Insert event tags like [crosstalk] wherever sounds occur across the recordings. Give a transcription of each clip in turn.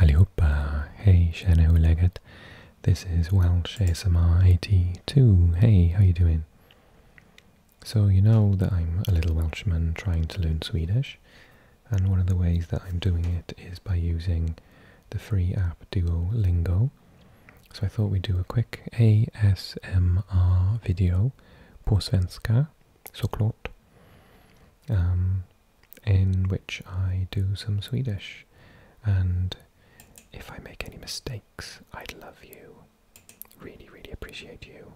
Allihopa, hey Shanna Leggett. This is Welsh ASMR 82. Hey, how you doing? So you know that I'm a little Welshman trying to learn Swedish, and one of the ways that I'm doing it is by using the free app Duolingo. So I thought we'd do a quick ASMR video på svenska, såklart. Um, in which I do some Swedish. And if I make any mistakes, I'd love you, really, really appreciate you,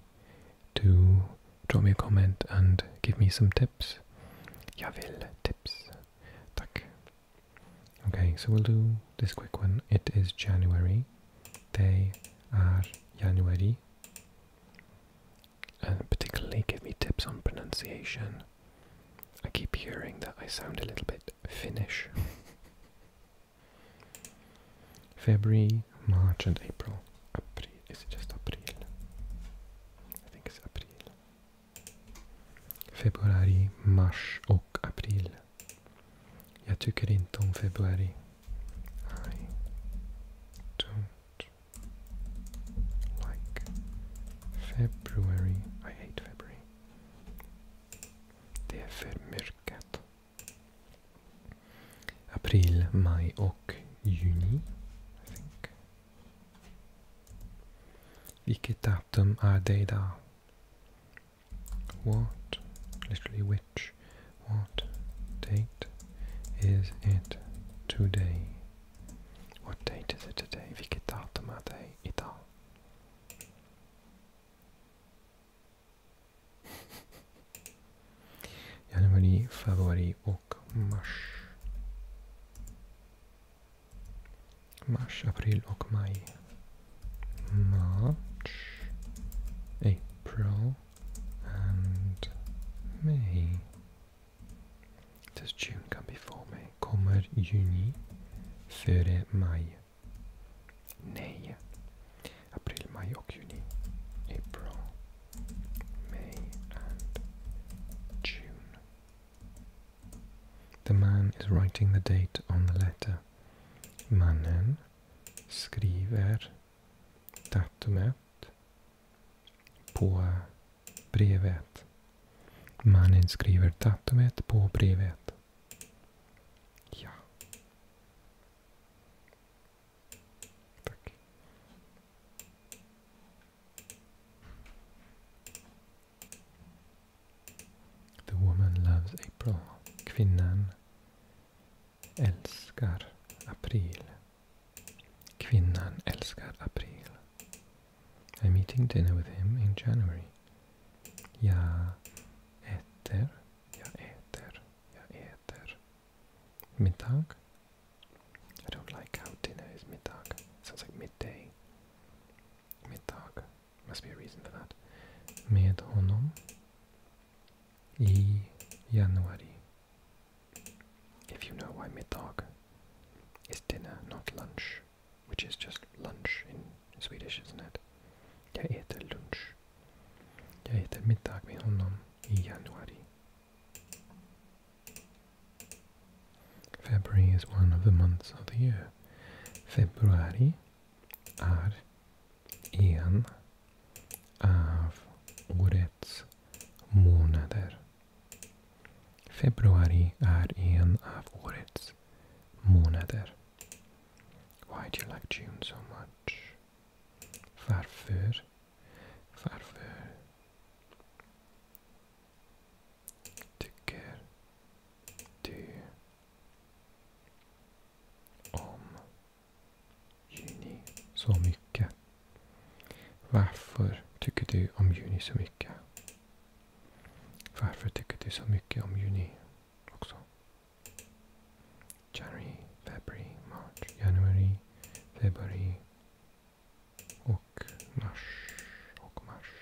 to drop me a comment and give me some tips. Jag vill tips. Tack. Okay, so we'll do this quick one. It is January. They are January and uh, particularly give me tips on pronunciation. I keep hearing that I sound a little bit Finnish. [laughs] February, March, and April. April. Is it just April? I think it's April. Februari, Mars och April. Jag tycker inte om februari. I don't like February. I hate February. Det April, May, och juni. I think. Vilket datum är det What? Literally which? what date is it today. What date is it today? Vilket datum är det idag? Januari, februari och mars. Mars, april och maj. March, April and me. This June come before me. Kommer juni före maj. Nej. April, maj och juni. April, May and June. The man is writing the date on the letter. Mannen skriver datumet på brevet. Mannen skriver datumet på brevet. Ja. Tack. The woman loves April. Kvinnan Elskar april. Kvinnan Elskar april. I'm eating dinner with him in January. Jag äter, jag äter, jag äter. Middag? I don't like how dinner is middag. Sounds like midday. Middag. Must be a reason for that. Med honom. I januari. If you know why midtåg is dinner, not lunch, which is just lunch in Swedish, isn't it? Jag äter lunch. Jag äter middag med honom i januari. February is one of the months of the year. Februari är en av årets månader. Februari är en av årets månader. Why do you like June so much? Varför? Varför? Tycker du om Juni så mycket? Varför tycker du om juni så mycket? Varför tycker du så mycket om juni också? January, February, March, January, February och Mars och Mars.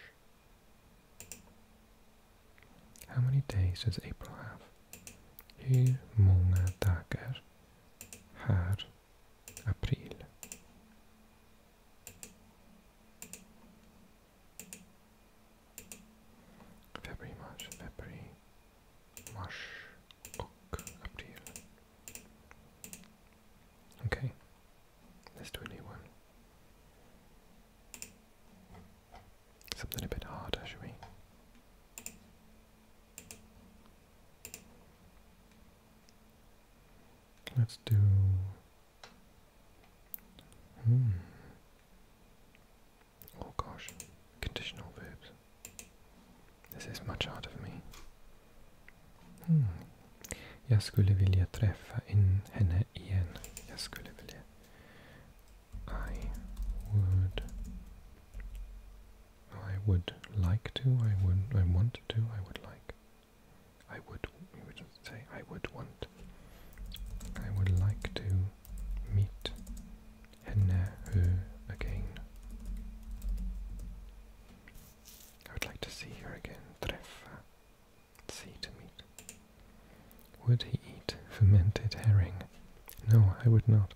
How many days does April have? Hur många dagar har april? Februari, mars, februari, mars och april. Okay, let's do a new one. Something a bit harder, shall we? Let's do. Hmm. Oh gosh, conditional verbs. This is much harder for me. Hmm. Jag skulle vilja träffa in henne igen. Jag skulle vilja I would I would like to, I would I want to, I would like. I would you would say I would want. I would like to meet henne again. I would like to see her again. Treffa. See to meet. Would he eat fermented herring? No, I would not.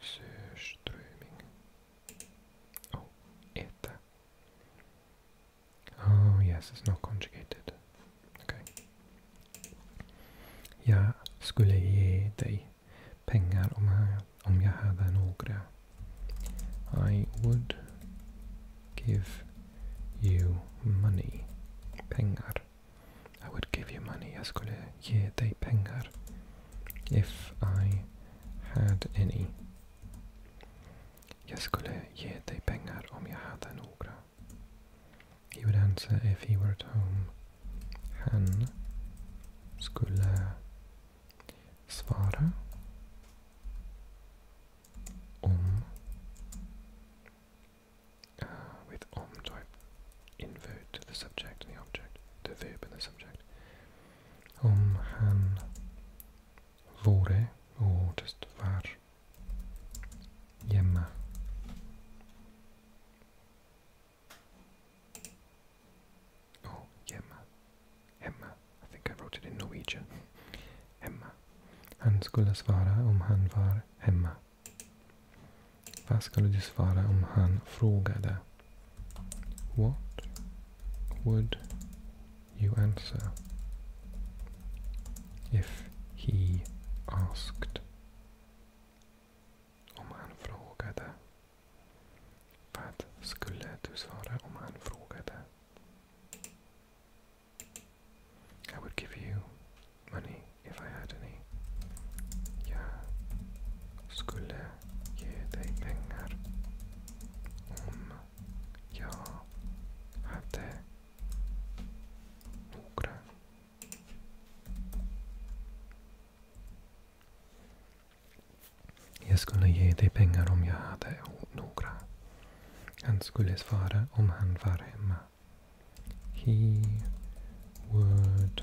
Surströmming. Och äta. Oh yes, it's not conjugated. Okay. Jag skulle ge dig pengar om jag, om jag hade några. I would give you money. Pengar. I would give you money. Jag skulle ge dig pengar. If I had any. Jag skulle ge dig pengar om jag hade några. He would answer if he were at home. Han skulle svara om uh, with om type invert the subject and the object, the verb and the subject. Om han vore, or just var Yemma. Oh, Yemma. Emma. I think I wrote it in Norwegian. [laughs] Emma. Han skulle svara om han var hemma. Vad skulle du svara om han frågade? What would you answer if he asked? Om han frågade. Vad skulle du svara om han frågade? I would give you money if I had any. Jag skulle ge dig pengar om jag hade några. Jag skulle ge dig pengar om jag hade några. Han skulle svara om han var hemma. he would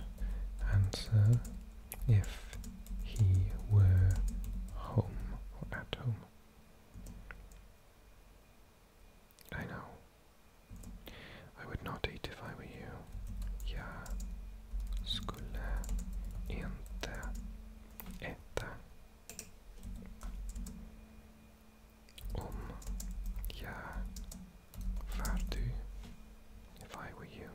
answer if he were home or at home. I know. I would not eat if I were you. Jag skulle inte äta. Om jag var du, if I were you.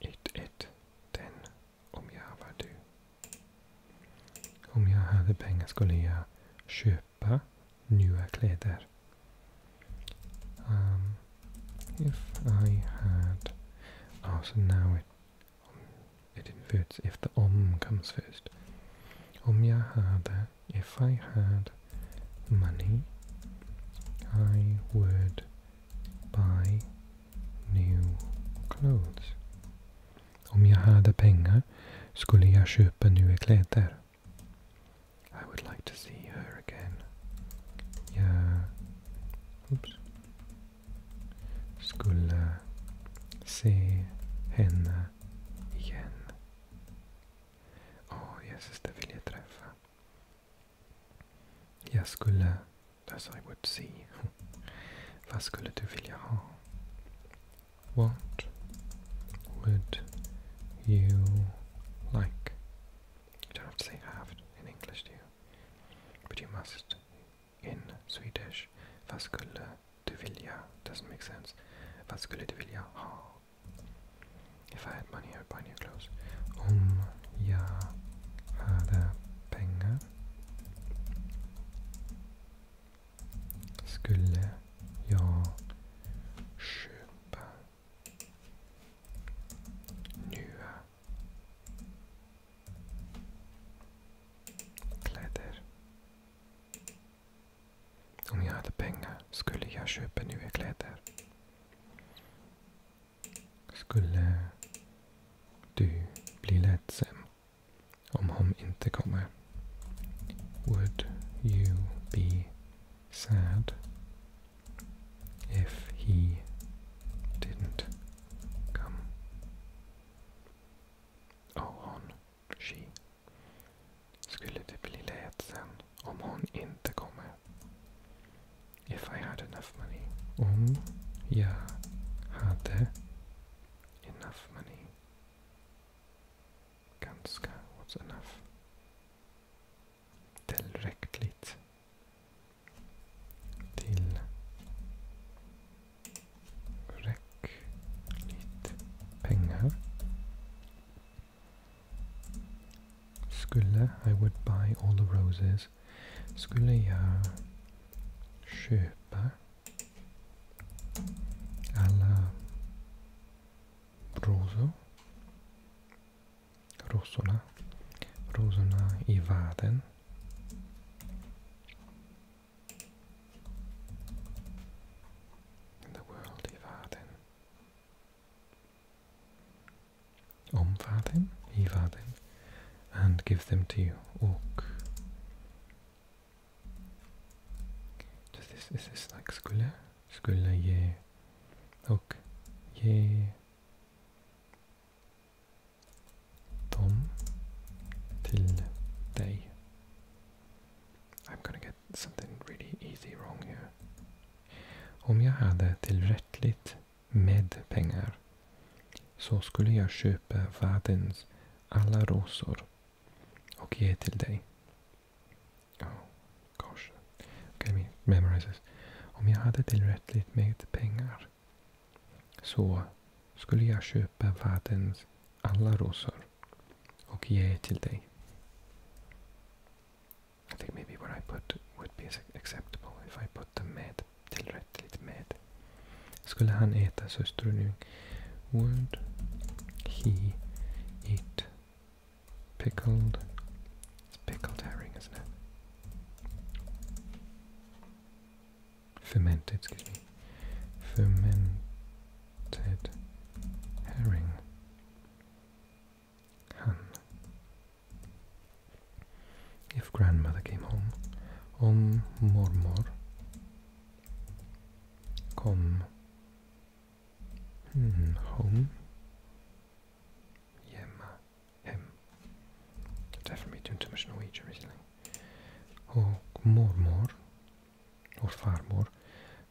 It, den, om jag var du. Om jag hade pengar skulle jag köpa nya kläder. Um, if I had... Oh, so now it It inverts if the om comes first. Om yahada. if I had money, I would buy new clothes. Om yahada penga. pengar skulle jag I would like to see her again. Jag, oops, skulle se henne igen. Åh, Jesus, det vill jag träffa. Jag skulle... I would see. [laughs] Vad skulle du vilja ha? What would you like? You don't have to say have in English, do you? But you must in Swedish. Vad du vilja? Doesn't make sense. Vad du vilja If I had money I would buy new clothes. Om jag hade pengar skulle jag köpa nya Kläder. Om jag hade pengar skulle jag köpa nya kläder. Skulle du bli ledsen om hon inte kommer? Would you be sad if he didn't come. Och hon, she, skulle det bli ledsen om hon inte kommer. If I had enough money. Om jag hade enough money. Ganska, what's enough? Tillräckligt till pengar. Skulle I would buy all the roses. Skulle jag köpa alla rosor? rosorna, rosorna i världen. In the world i världen. Om And give them to you. Och Does this, is this like skulle? Skulle ge och ge dem till dig. I'm gonna get something really easy wrong here. Om jag hade tillräckligt med pengar så skulle jag köpa världens alla rosor och ge till dig. Oh, gosh. Okej, memorizes. Om jag hade tillräckligt med pengar så skulle jag köpa världens alla rosor och ge till dig. I think maybe what I put would be acceptable if I put them med tillräckligt med. Skulle han äta söstrunung? Would he eat pickled It's pickled herring, isn't it? Fermented, excuse me. Fermented herring. Hun. If grandmother came home, om mormor. Kom. Hmm, home. Yema, hem. Definitely doing too much Norwegian recently. Och oh, mormor, vår farmor,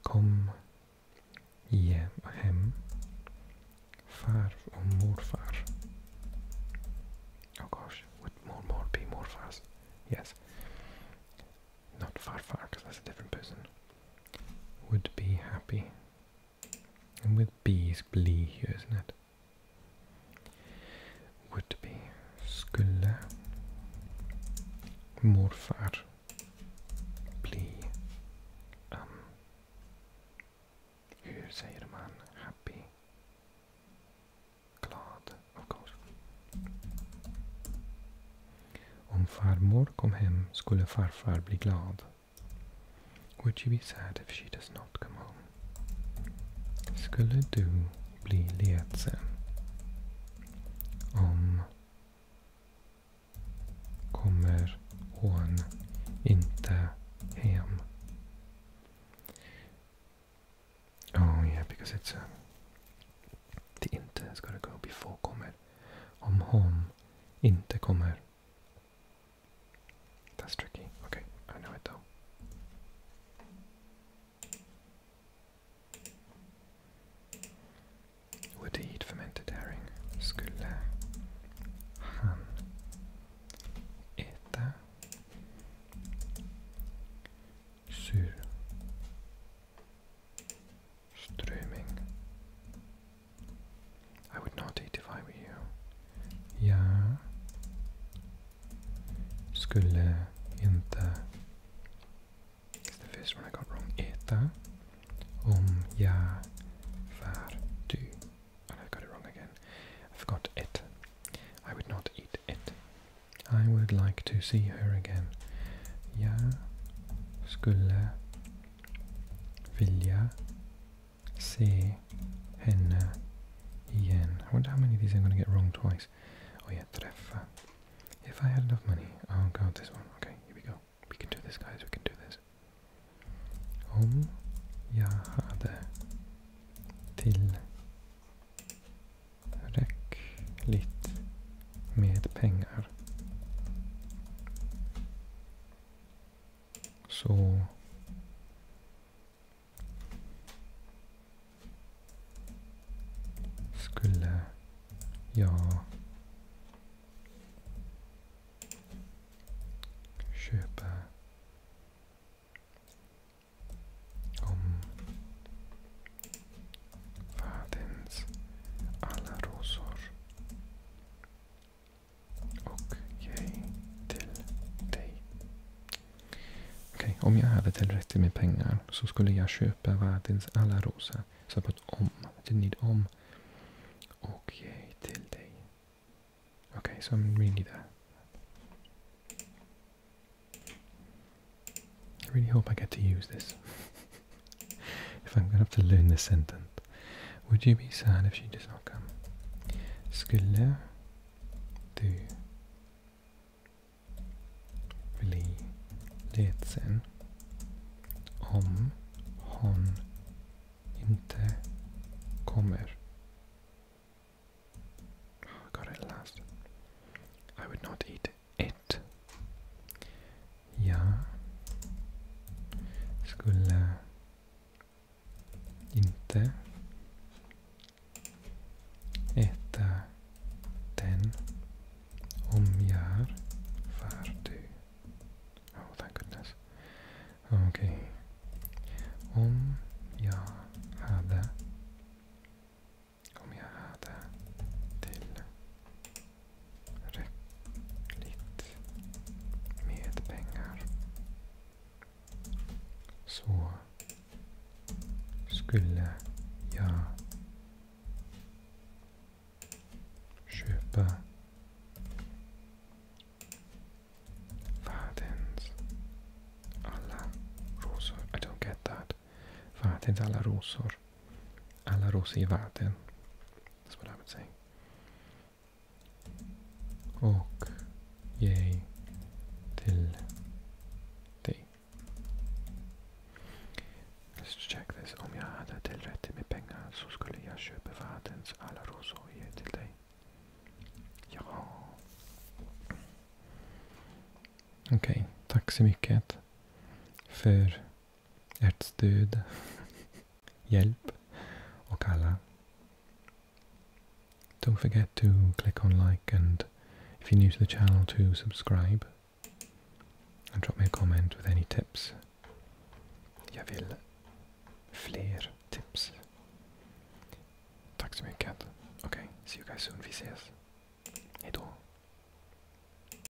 kom hjem, hem. Far och morfar. Oh gosh, would mormor be morfars? Yes. Not farfar, because that's a different person. Would be happy and with B is bli here, isn't it? Would be. Skulle morfar bli um, Hur säger man happy? Glad, of course. Om farmor kom hem skulle farfar bli glad. Would you be sad if she does not come home? Skulle du bli ledsen om kommer hon inte hem? Oh yeah, because it's a... Det inte ska det gå before kommer. Om hon inte kommer. That's tricky. Okay, I know it though. Would he eat fermented herring? Skulle han äta surströmming? Ströming. I would not eat if I were you. Yeah. skulle inte... It's the first one I got wrong. Eta. om jag var du. And I got it wrong again. I forgot it. I would not eat it. I would like to see her again. Yeah. skulle vilja se henne igen. I wonder how many of these I'm going to get wrong twice. Oh yeah, träffa. If I had enough money. Oh god, this one. Okay, here we go. We can do this, guys. We can do this. Om jag hade tillräckligt med pengar så. Skulle jag köpa om världens alla rosor och jag till dig. Okej, om jag hade tillräckligt med pengar så skulle jag köpa världens alla rosor. Så på ett om, till need om. Och jag till dig. Okej, så read me that. I really hope I get to use this. [laughs] if I'm gonna have to learn this sentence. Would you be sad if she does not come? Skulle du bli ledsen om hon inte kommer? Oh, I got it last. I would not eat it Jag skulle inte äta den om jag är färdig. Oh, thank goodness. Okej. Okay. Om jag hade... Om jag hade till räckligt med pengar så skulle jag köpa världens alla rosor. I don't get that. Världens alla rosor alla rosor i världen. That's what I would say. Och ge till dig. Let's check this. Om jag hade tillräckligt med pengar så skulle jag köpa världens alla rosor och ge till dig. Ja. Okej, okay. tack så mycket för ärtstöd, [laughs] hjälp och alla. Don't forget to click on like and if you're new to the channel to subscribe and drop me a comment with any tips. Jag vill fler tips. Tack så mycket. Okej, okay, see you guys soon. Vi ses. Hejdå.